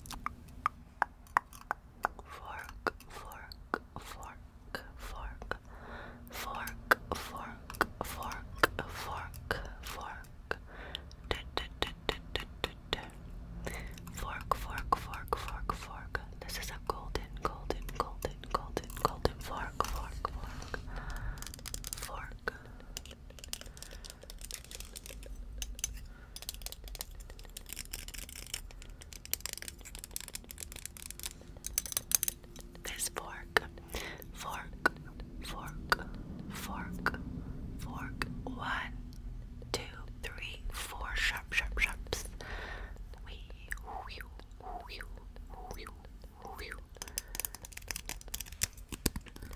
fork, fork, fork, fork, fork, fork, fork, fork, fork, d d d d d d d fork, fork, fork, fork, fork. This is a golden, golden, golden, golden, golden fork, fork, fork, fork. This fork, fork, fork, fork, fork. One, two, three, four. Sharp, sharp, sharp.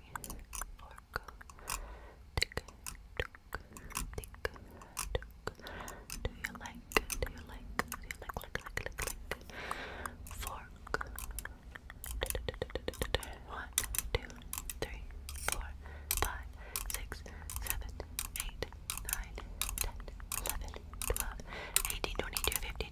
watching. Orca, tick, tock, tick, tock. Do you like? Do you like? Do you like? Like, like, like, like. Fork. One, two, three, four, five, six, seven, eight, nine, ten, eleven, twelve, eighteen, twenty-two, fifteen,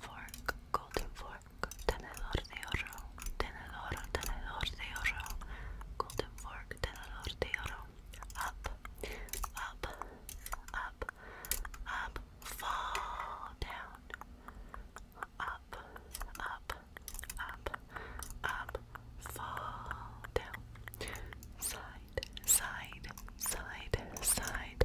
fork, golden fork, tenedor de oro, tenedor, tenedor de oro, golden fork, tenedor de oro, up, up, up, up, fall down, up, up, up, up, fall down, side, side, side, side,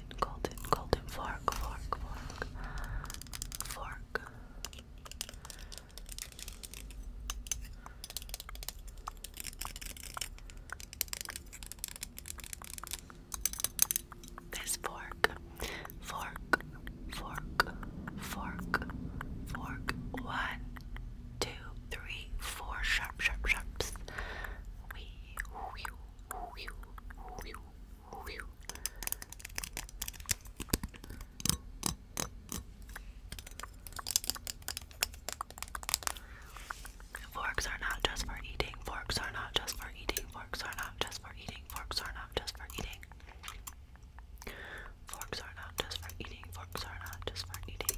golden, golden, fork, fork, fork, fork. fork, fork, fork, fork, One, two, three, four sharp, sharp, sharps. Forks are not just for eating, forks are not just for eating, forks are not just for eating, forks are not just for eating. Forks are not just for eating, forks are not just for eating.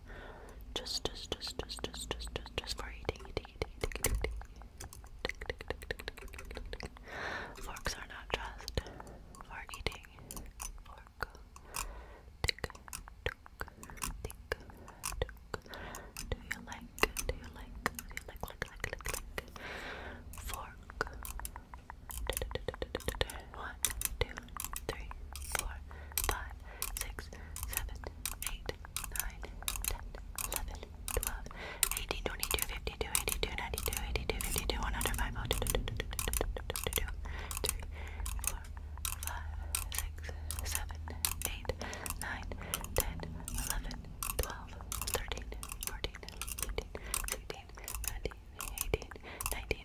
just, just, just, just, just, just, just, just for eating, eating, eating, eating, eating. Forks are not just for eating. Fork, tick, tick, tick, tick. Do you like? Do you like? Do you like? Like, like, like, like. Fork. One, two, three, four, five five, six, seven, eight, nine, ten, eleven, twelve, eighteen, twenty-two, fifty-two, eighty-two, ninety-two, eighty-two, fifty-two, one hundred, five, oh, two, two, two, two, two, two, two, three, four, five, six, seven, eight, nine, ten, eleven, twelve, thirteen, fourteen, fifteen, sixteen, seventeen, eighteen, nineteen,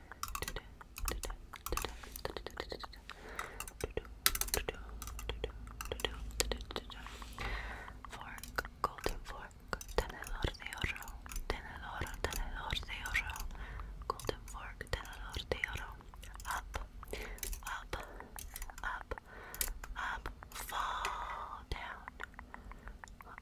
Fork, golden fork, tenedor de oro, tenedor, tenedor de oro, golden fork, tenedor de oro, up, up, up, up, fall down, up,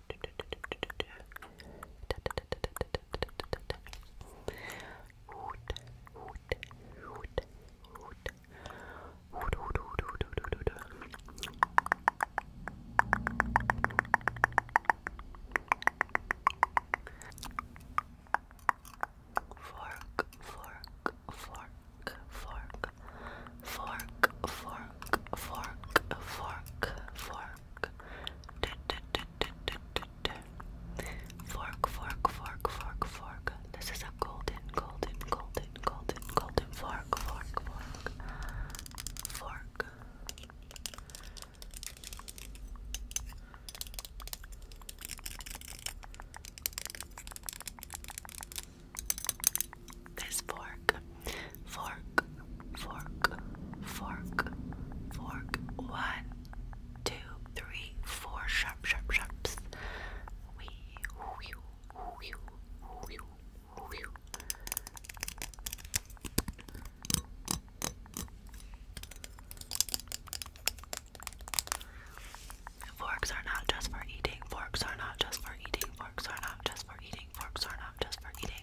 Fork, fork, fork, fork, fork, fork, fork, fork, fork. Fork, fork, fork, fork, fork. This is a golden, golden, golden, golden, golden fork, fork, fork, fork this fork, fork, fork, fork, fork. One, two, three, four sharp, sharp, sharps. Forks are not just for eating, forks are not just for eating, forks are not just for eating, forks are not just for eating.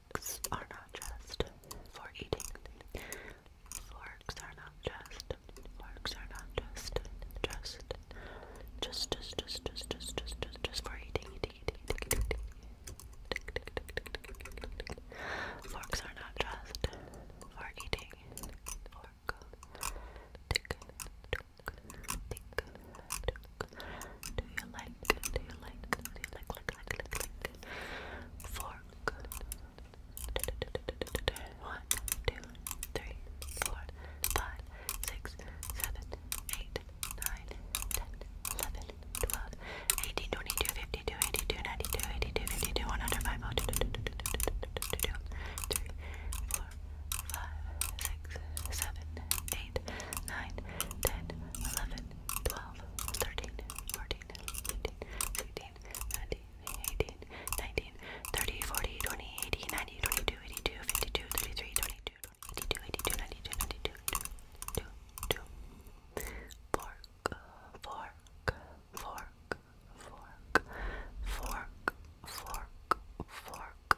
forks are not just for eating. Forks are not just. Forks are not just. Just. Just, just, just, just, just, just, just, for eating, eating, eating, eating, eating. Forks are not just for eating. Fork. Tick, tick, tick, tick, tick, do you like? Do you like? Do you like? Like, like, like, like? Fork. One, two, three, four, five, six, seven, eight, nine, ten, eleven, twelve, eighteen, twenty-two, fifty-two, eighty-two, ninety-two, eighty-two, fifty-two, one hundred, five hundred, three, four. Five, six, seven, eight, nine, ten, eleven, 12, 13, 14, 15, 16, 17, 18, 19, 30, 40, 20, 80, 90, 22, 82, 52, 33, 22, 82, 82, 92, 92, 2, 2, 2. Fork, fork, fork, fork, fork, fork, fork, fork,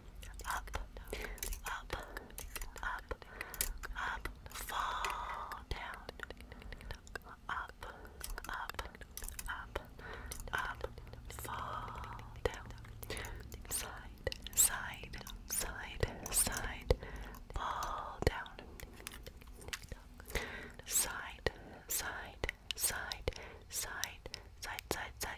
up, up, up, up, fall down, up, up, up, up, fall down, side, side, side, side, fall down, side, side, side, side, side, side, side, side,